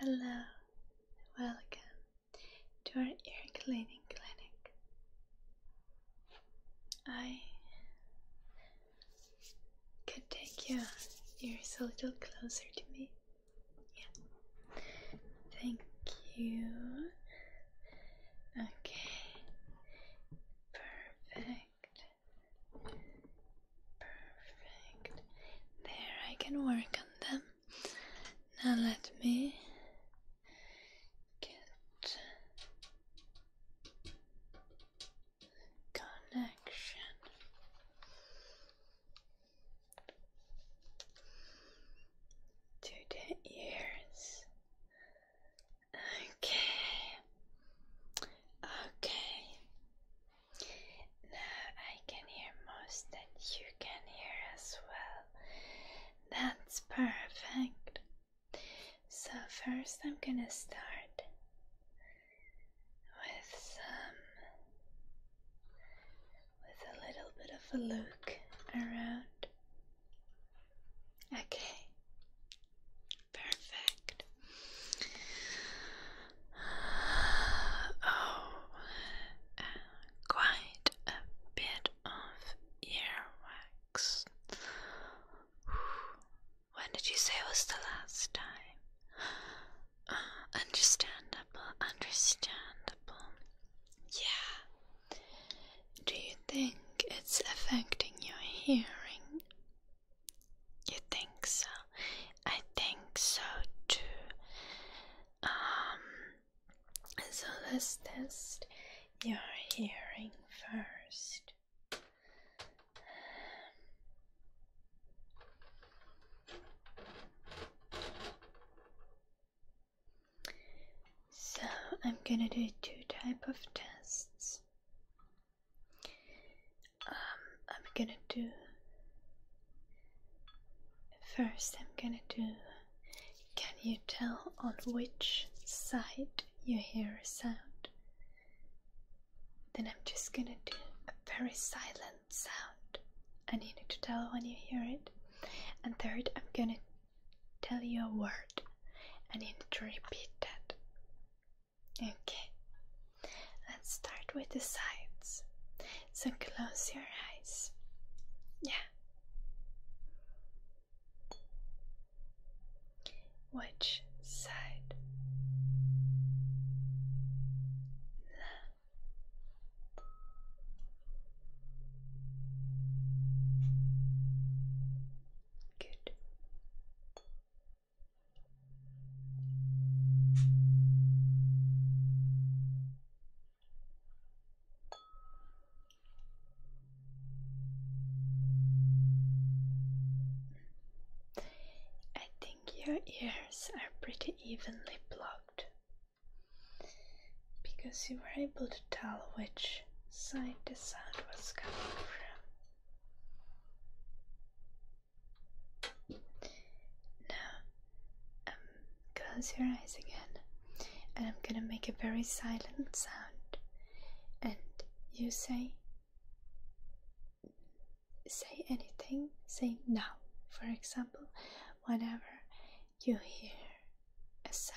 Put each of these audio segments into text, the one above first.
Hello, welcome to our ear cleaning clinic. I could take your ears a little closer to me. Yeah. Thank you. Okay. Perfect. Perfect. There, I can work on them. Now let me get connection. To the ears, Okay. Okay. Now I can hear most that you can hear as well. That's perfect. So, first, I'm gonna start with some. With a little bit of a look around. Okay, Perfect. Oh, quite a bit of earwax. When did you say was the last time? Uh, understandable, understandable. Yeah. Do you think it's affecting your hearing? You think so? I think so too. Um, so let's test your hearing first. So I'm gonna do two type of tests. Um, I'm gonna do first. I'm gonna do. Can you tell on which side you hear a sound? Then I'm just gonna do a very silent sound, and you need to tell when you hear it. And third, I'm gonna tell you a word. I need to repeat that. Okay, let's start with the sides. So close your eyes. Yeah. Which side? Left. Good. I think your ears are pretty evenly blocked because you were able to tell which side the sound was coming from. Now, um, close your eyes again, and I'm gonna make a very silent sound, and you say, say anything, say now. For example, whenever you hear a sound.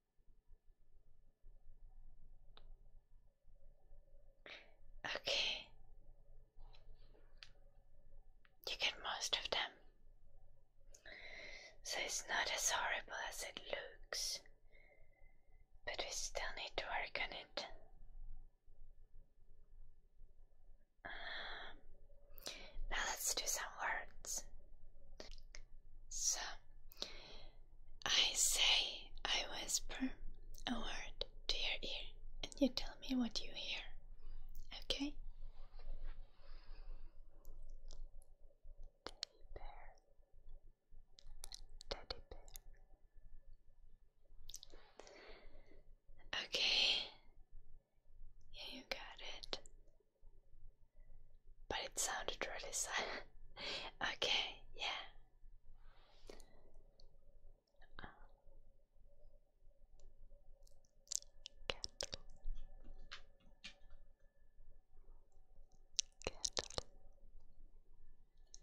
Okay. You get most of them. So it's not as horrible as it looks, but we still need to work on it. Um, now let's do some words. So I say, I whisper a word to your ear, and you tell me what you hear. Okay? Teddy bear, teddy bear. Okay, yeah, you got it. But it sounded really sad. okay, yeah.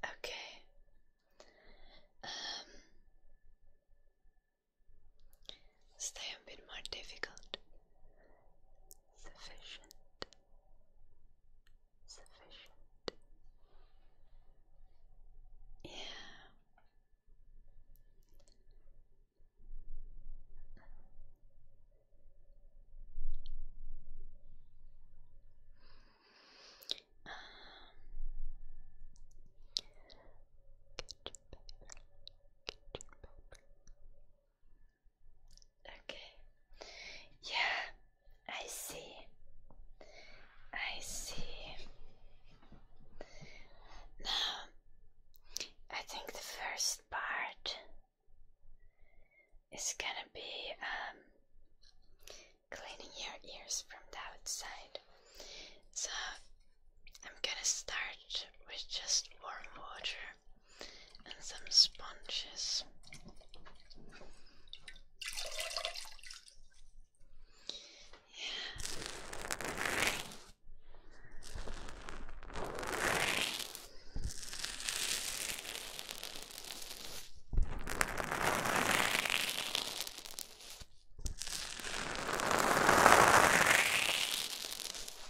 Okay. Um, stay a bit more difficult sufficient, sufficient. Yeah. Um, Okay. Yeah, I see. I see. Now, I think the first part is gonna be um, cleaning your ears from the outside. So, I'm gonna start with just warm water and some sponges. Yeah.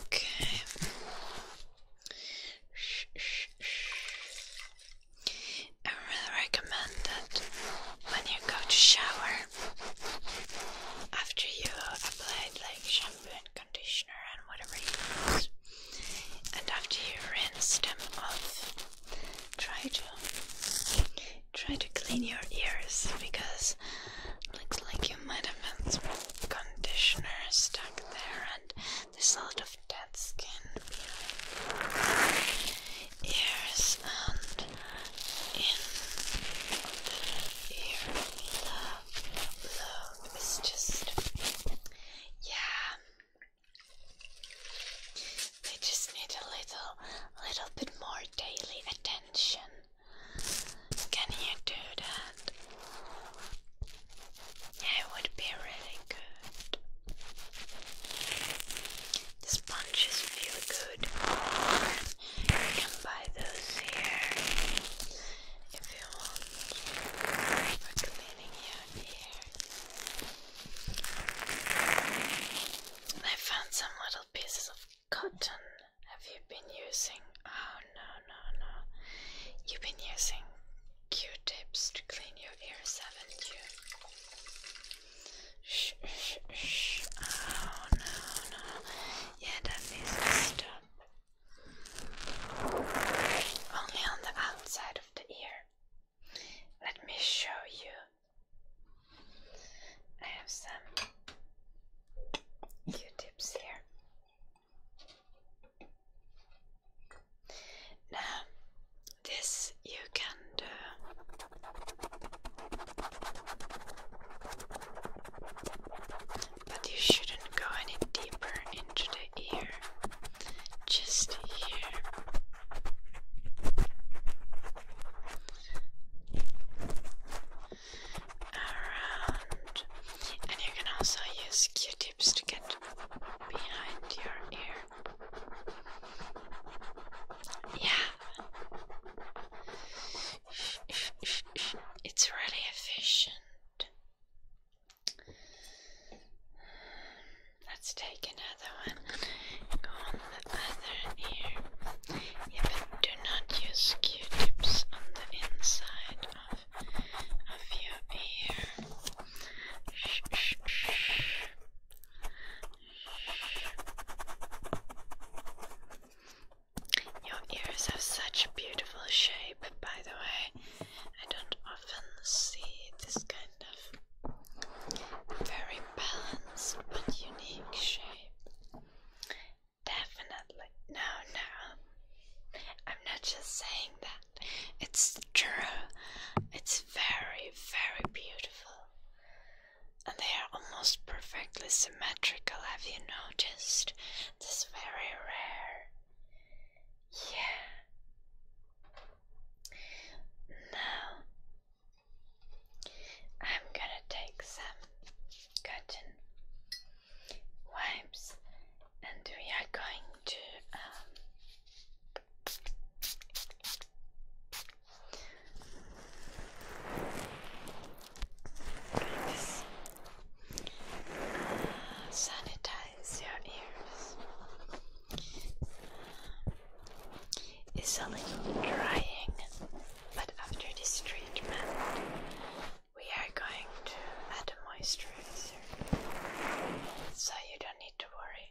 Okay. I really recommend that when you go to shower, after you applied like shampoo and conditioner and whatever you use, and after you rinse them off, try to try to clean your ears because because looks like you might have some conditioner stuck there and this lot of dead skin ears and in the ear is just, yeah, they just need a little, little bit more daily attention. Can you do that? it would be really good. sponges feel good. You can buy those here if you want for cleaning your ears. I found some little pieces of cotton have you been using? Oh no, no, no. You've been using q tips to clean your ears, haven't you? Shh, shh, shh. Oh no, no. Yeah, that needs to stop. Only on the outside of the ear. Let me show you. I have some Q tips here. Now, this you can do. But you shouldn't go any deeper into the ear, just here around. And you can also use q tips to get behind your ear. Yeah. It's really efficient. Let's take another one. on the other ear do not use Q-tips on the inside of, of your ear. shh, shh. Shh. Your ears have such a beautiful shape, by the way. I don't often see this kind of very balanced but unique shape. Definitely. No, no. I'm not just saying that. It's true. It's very, very beautiful. And they are almost perfectly symmetrical, have you noticed? This is very rare. Yeah. Now, I'm gonna take some cotton wipes, and we are going to um, uh, sanitize your ears. It's a little drying, but after this treatment, we are going to add a moisturizer, so you don't need to worry.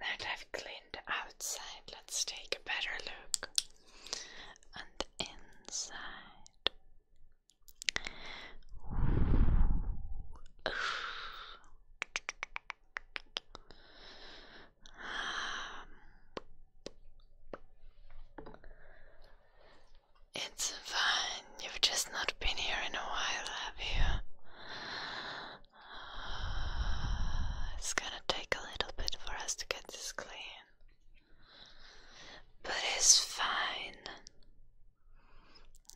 now that I've cleaned the outside, let's take a better look on the inside. Um, it's fine, you've just not been here in a while, have you? It's gonna take a little bit for us to get this clean, but it's fine.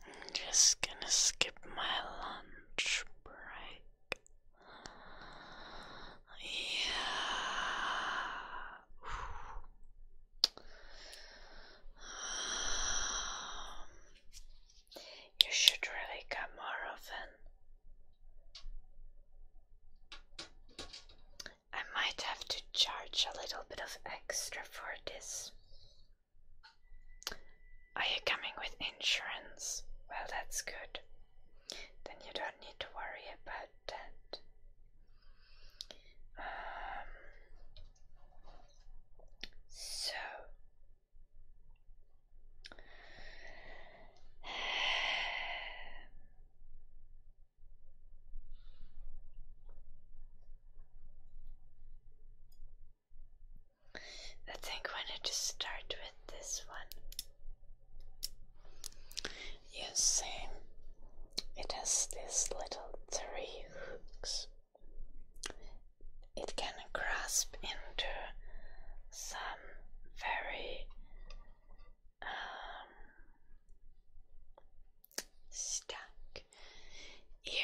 I'm just gonna skip my lunch break. Yeah. Um, you should really come more often. I might have to charge a little bit of extra for this. Are you coming with insurance? Well, that's good. Then you don't need to worry about that. Um, so, I think when you to start with this one, you see it has these little three hooks it can grasp into some very um, stuck here.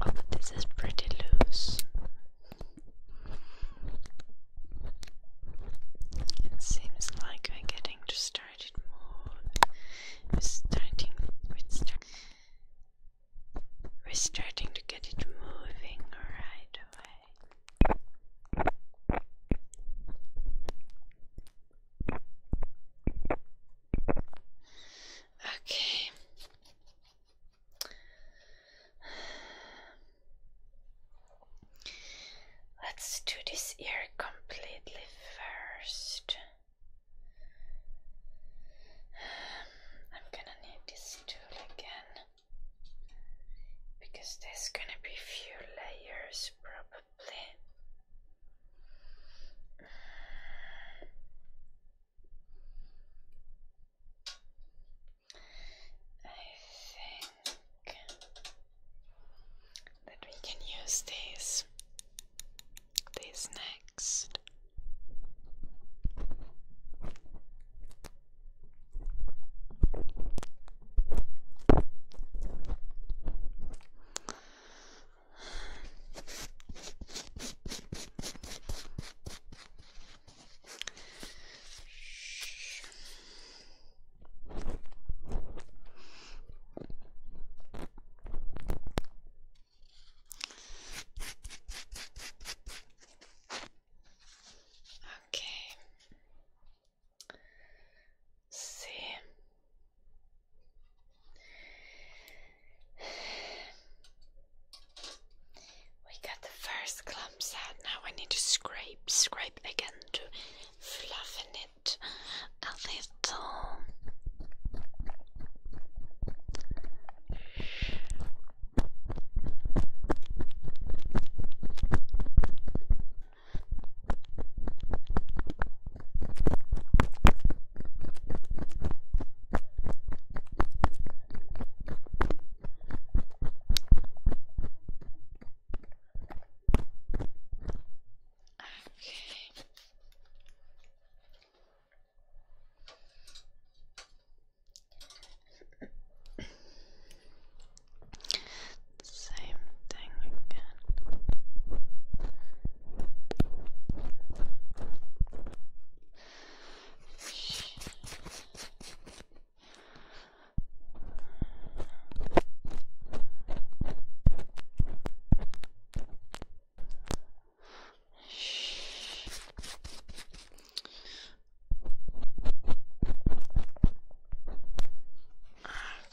Oh, this is pretty loose. It seems like we're getting to started more. We're starting we're starting to get it moving right away. Okay. Let's do this ear completely first. I'm gonna need this tool again because there's gonna be few layers probably. I think that we can use these these next. Okay. See. We got the first clumps out. Now We need to scrape, scrape, wipe again to fluffen it a little. Okay. Same thing again.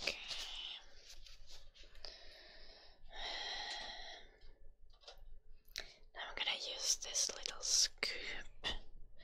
Okay. Now I'm gonna use this little scoop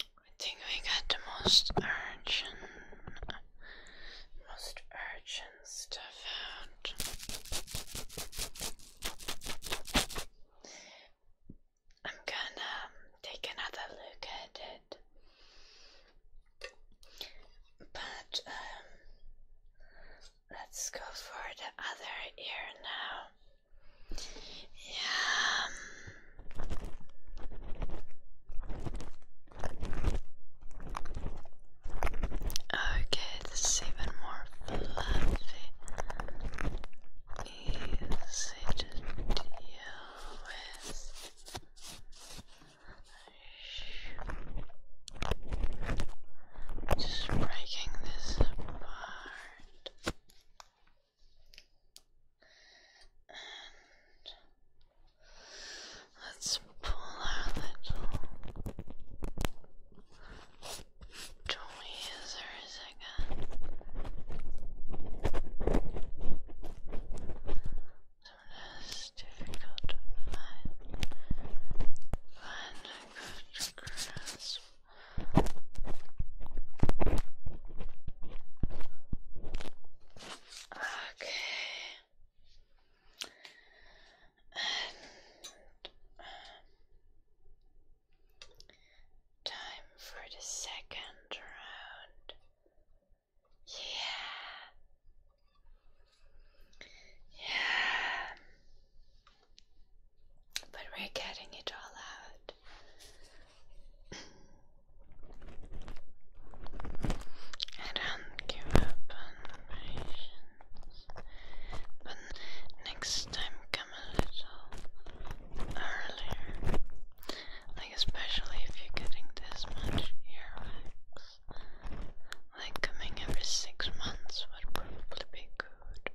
I think we got the most urgent, most urgent stuff out. I'm gonna um, take another look at it. But um, let's go for the other ear now. Yeah. Okay, this is even more fluffy. Easy to deal Just breaking this apart let's pull our little toy as there is again. So it's difficult to find, find a good grasp. Okay. time for the second round. Yeah. Yeah. But we're getting it all out. I don't give up on patience, but next time come a little earlier. Like, especially if you're getting this much earwax. Like, coming every six months would probably be good.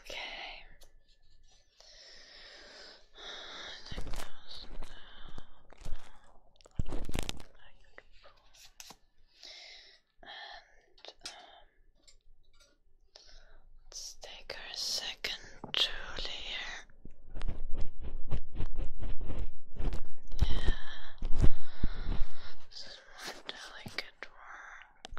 Okay. I think that was now. I could pull. And um Let's take our second tool here. Yeah. This is more delicate work.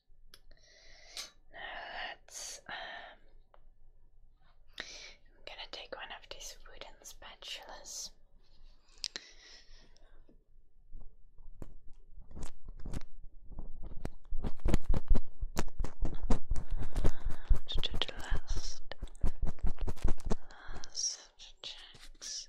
Now let's. Um, I'm gonna take one of these wooden spatulas. To the last, last checks.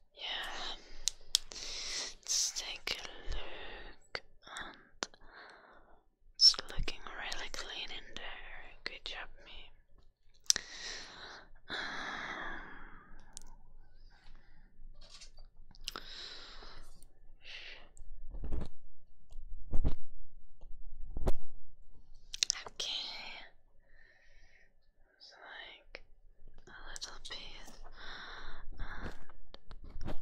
Yeah. Let's take a look it's looking really clean in there. Good job me. Um, okay, like a little piece uh,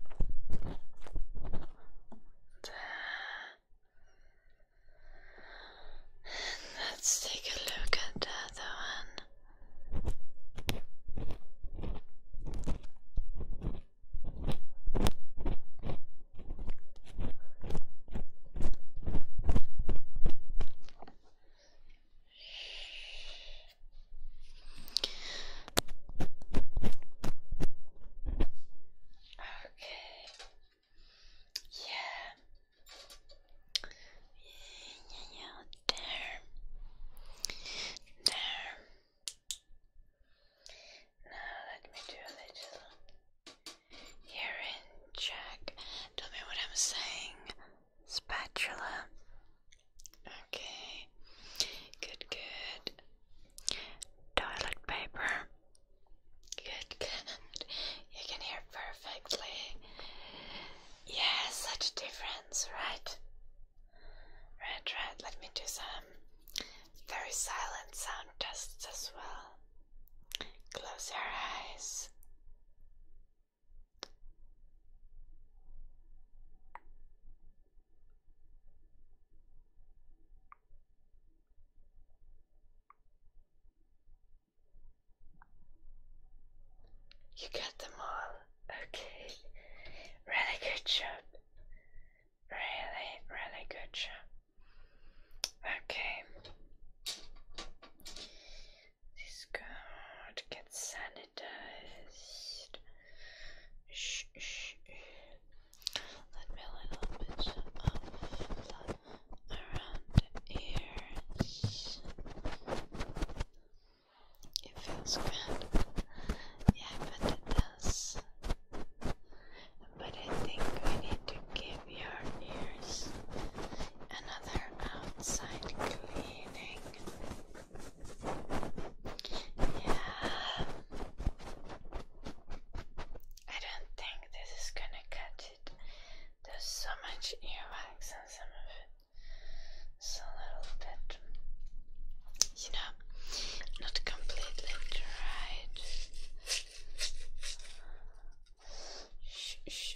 Let's take a look at the other one. Okay. Yeah. Yeah, there. There. Now let me do a little hearing check. Tell me what I'm saying spatula. Okay, good, good. Toilet paper. Good, good. You can hear perfectly. Yeah, such a difference, right? Right, right. Let me do some very silent sound tests as well. Close your eyes. You got them all. Okay. Really good job. Really, really good job. Okay. This card gets sanitized. Shh, shh. Let me a little bit of blood around the ears. It feels good. Yeah, but it does. But I think we need to give your ears another outside cleaning. Yeah. I don't think this is gonna cut it. There's so much earwax on some of it. It's a little bit, you know, not completely dried. shh.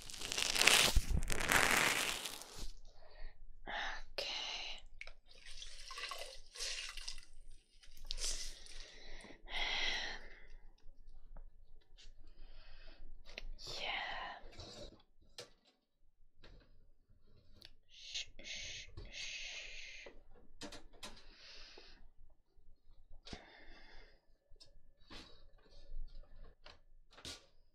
Okay. Yeah. Shh, shh, shh.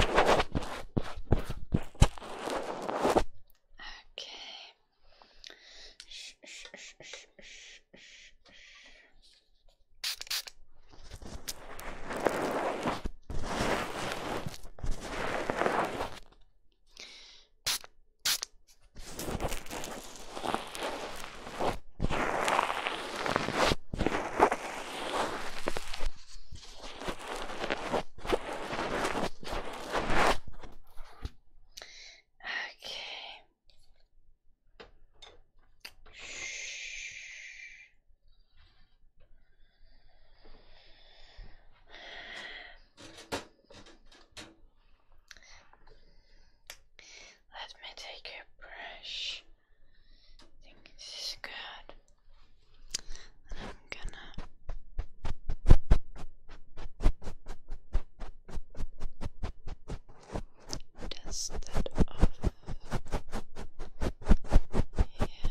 Okay. Shh, shh, shh, shh, shh, shh, shh. Okay. Let me take a brush. I think this is good. And I'm gonna dust that off. Yeah.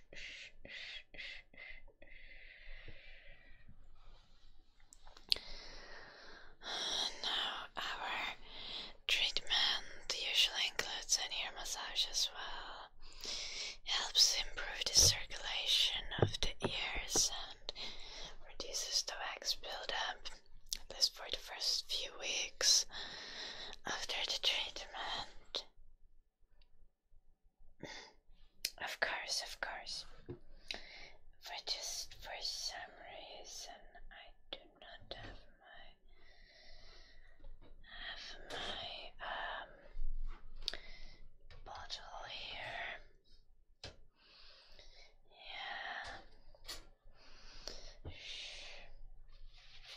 Now, our treatment usually includes an ear massage as well. It helps improve the circulation of the ears and reduces the wax buildup, at least for the first few weeks after the treatment. Of course, of course. For just for some reason, I do not have my have my um bottle here. Yeah. Shh.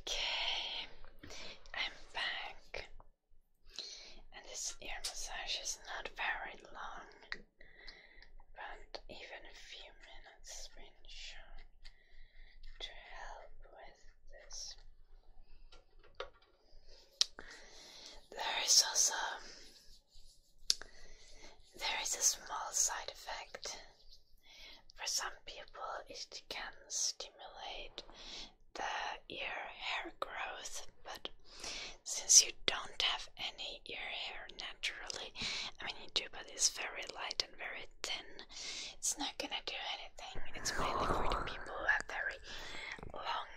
Okay, I'm back. And this ear massage is not very long, but even a few minutes been to help with this. There is also there is a small side effect for some people, it can stimulate the ear hair growth, but since you don't have any ear hair naturally, I mean, you do, but it's very light and very thin, it's not gonna do anything. It's mainly for the people who have very long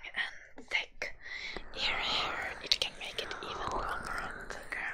and thick ear hair, it can make it even longer and thicker.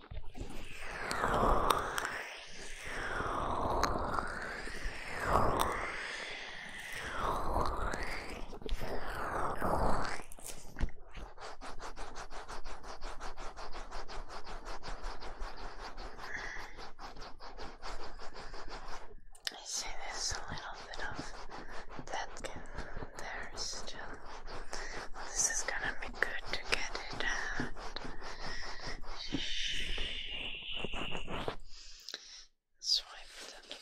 I see there's a little bit of that there still. This is gonna be good to get it out. Swipe them.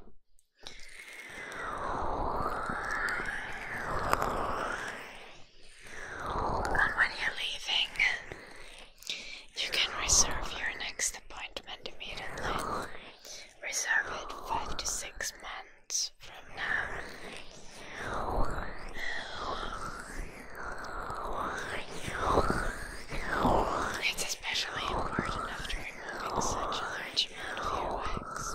And when you're leaving, you can reserve your next appointment immediately. Reserve it five to six months from now. It's especially important after removing such a large amount of your wax.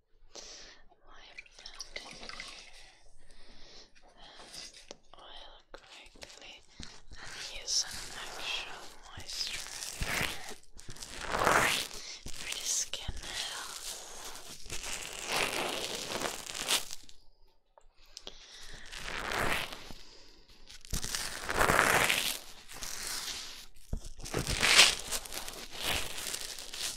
I found in here oil correctly and use an for the skin health.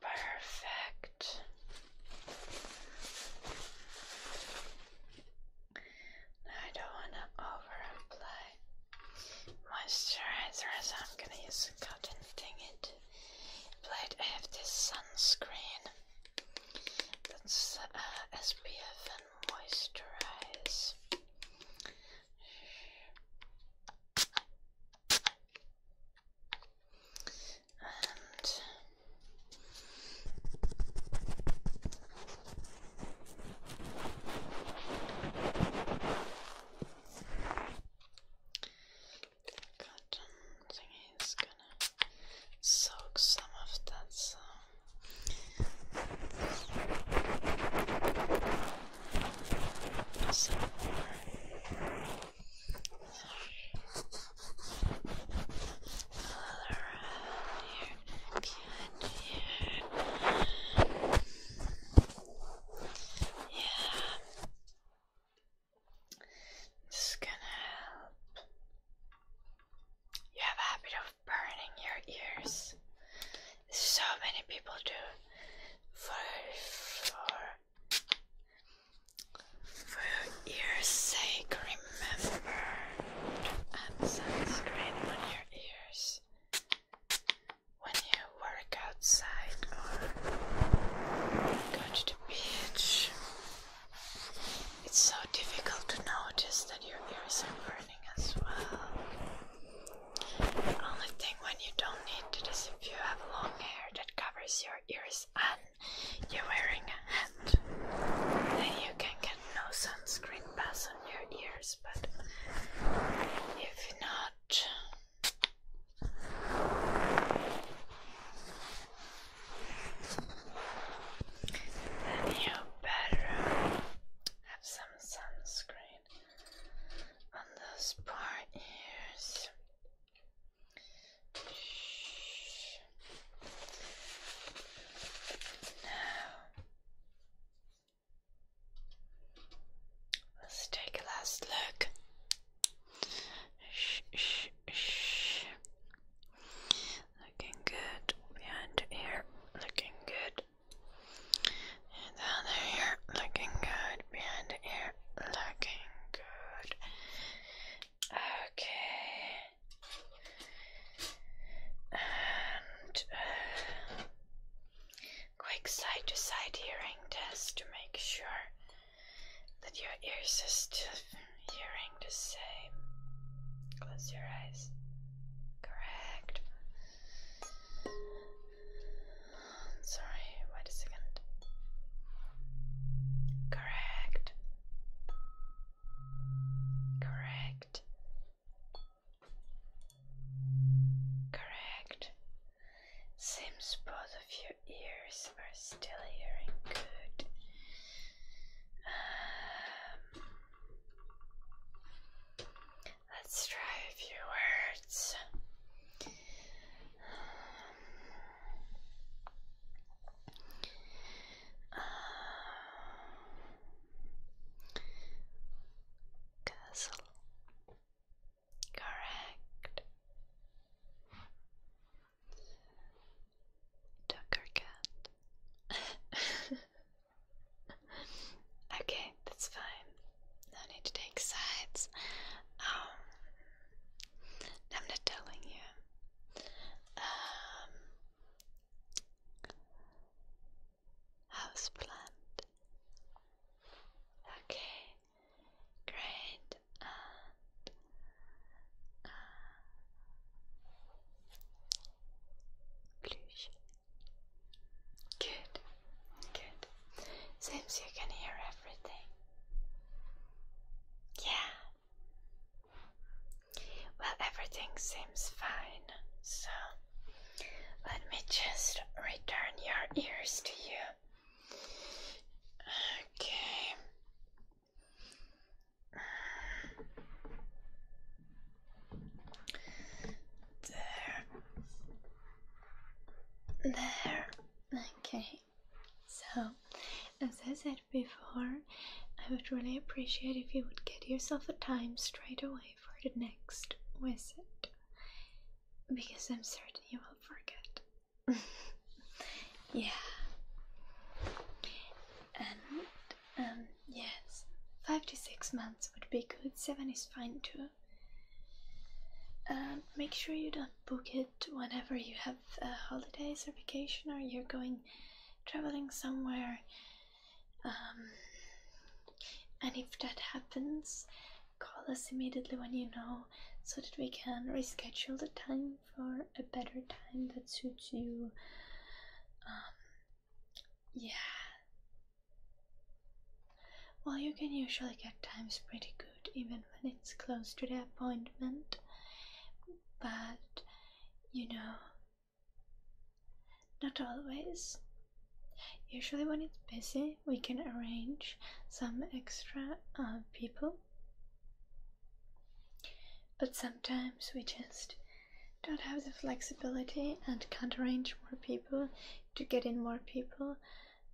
Perfect. Now I don't want to over moisturizer, so I'm going to use a cotton thingy I have this sunscreen that's uh, SPF and moisturize and cotton is gonna soak some of that uh, so Good gonna help. You have a habit of burning your ears. So many people do for your ear's sake, remember to add sunscreen on your ears when you work outside or oh, go to the beach. It's so difficult to notice that your ears are burning as well. The only thing when you don't need to if you have long hair, it covers your ears and you're wearing a hat, then you can get no sunscreen pass on your ears. But if not, then you better have some sunscreen on those poor ears. Now, let's take a last look. Shh, shh, shh. Looking good behind here. Looking good. And down there, looking good behind the looking good. Okay. And uh, quick side to side hearing test to make sure that your ears are still hearing the same. Close your eyes. Correct. Sorry, wait a second. Correct. Correct. Correct. Seems both of your ears are still hearing good. Um, let's try a few words. Um, castle. Correct. Tucker cat. okay, that's fine. No need to take sides. Um, I'm not telling you. Um, houseplant. Okay, great. And uh, Good, good. Seems you can hear everything. Yeah. Well, everything seems fine, so let me just return your ears to you. Okay. There. There. Okay so as I said before, I would really appreciate if you would get yourself a time straight away for the next visit because I'm certain you will forget. yeah, and um, yes, five to six months would be good, seven is fine too. And um, make sure you don't book it whenever you have uh, holidays or vacation or you're going traveling somewhere. Um, and if that happens, call us immediately when you know so that we can reschedule the time for a better time that suits you. Um, yeah. Well, you can usually get times pretty good even when it's close to the appointment, but you know, not always. Usually, when it's busy, we can arrange some extra uh, people, but sometimes we just don't have the flexibility and can't arrange more people to get in more people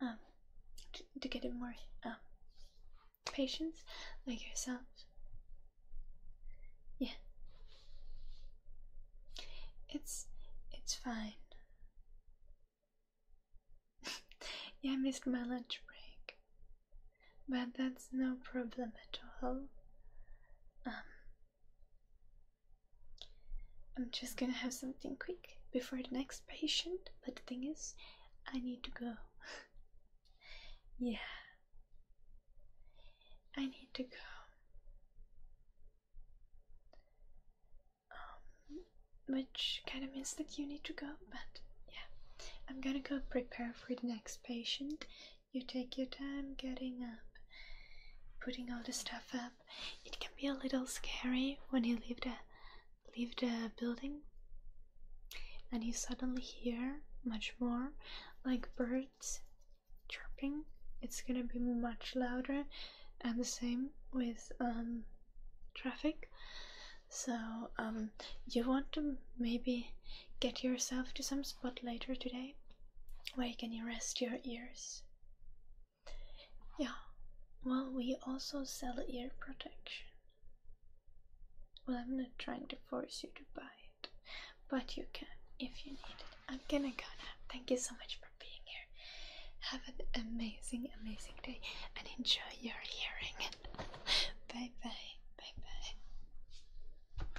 um, to get it more um, patience, like yourself. Yeah. It's it's fine. yeah, I missed my lunch break. But that's no problem at all. Um I'm just gonna have something quick before the next patient. But the thing is, I need to go. yeah. I need to go. Um, which kind of means that you need to go, but yeah. I'm gonna go prepare for the next patient. You take your time getting up, putting all the stuff up. It can be a little scary when you leave the leave the building and you suddenly hear much more like birds chirping it's gonna be much louder and the same with um, traffic so um, you want to maybe get yourself to some spot later today where you can rest your ears yeah. Well, we also sell ear protection. Well, I'm not trying to force you to buy it, but you can if you need it. I'm gonna go now. Thank you so much for being here. Have an amazing, amazing day and enjoy your hearing. bye bye. Bye bye.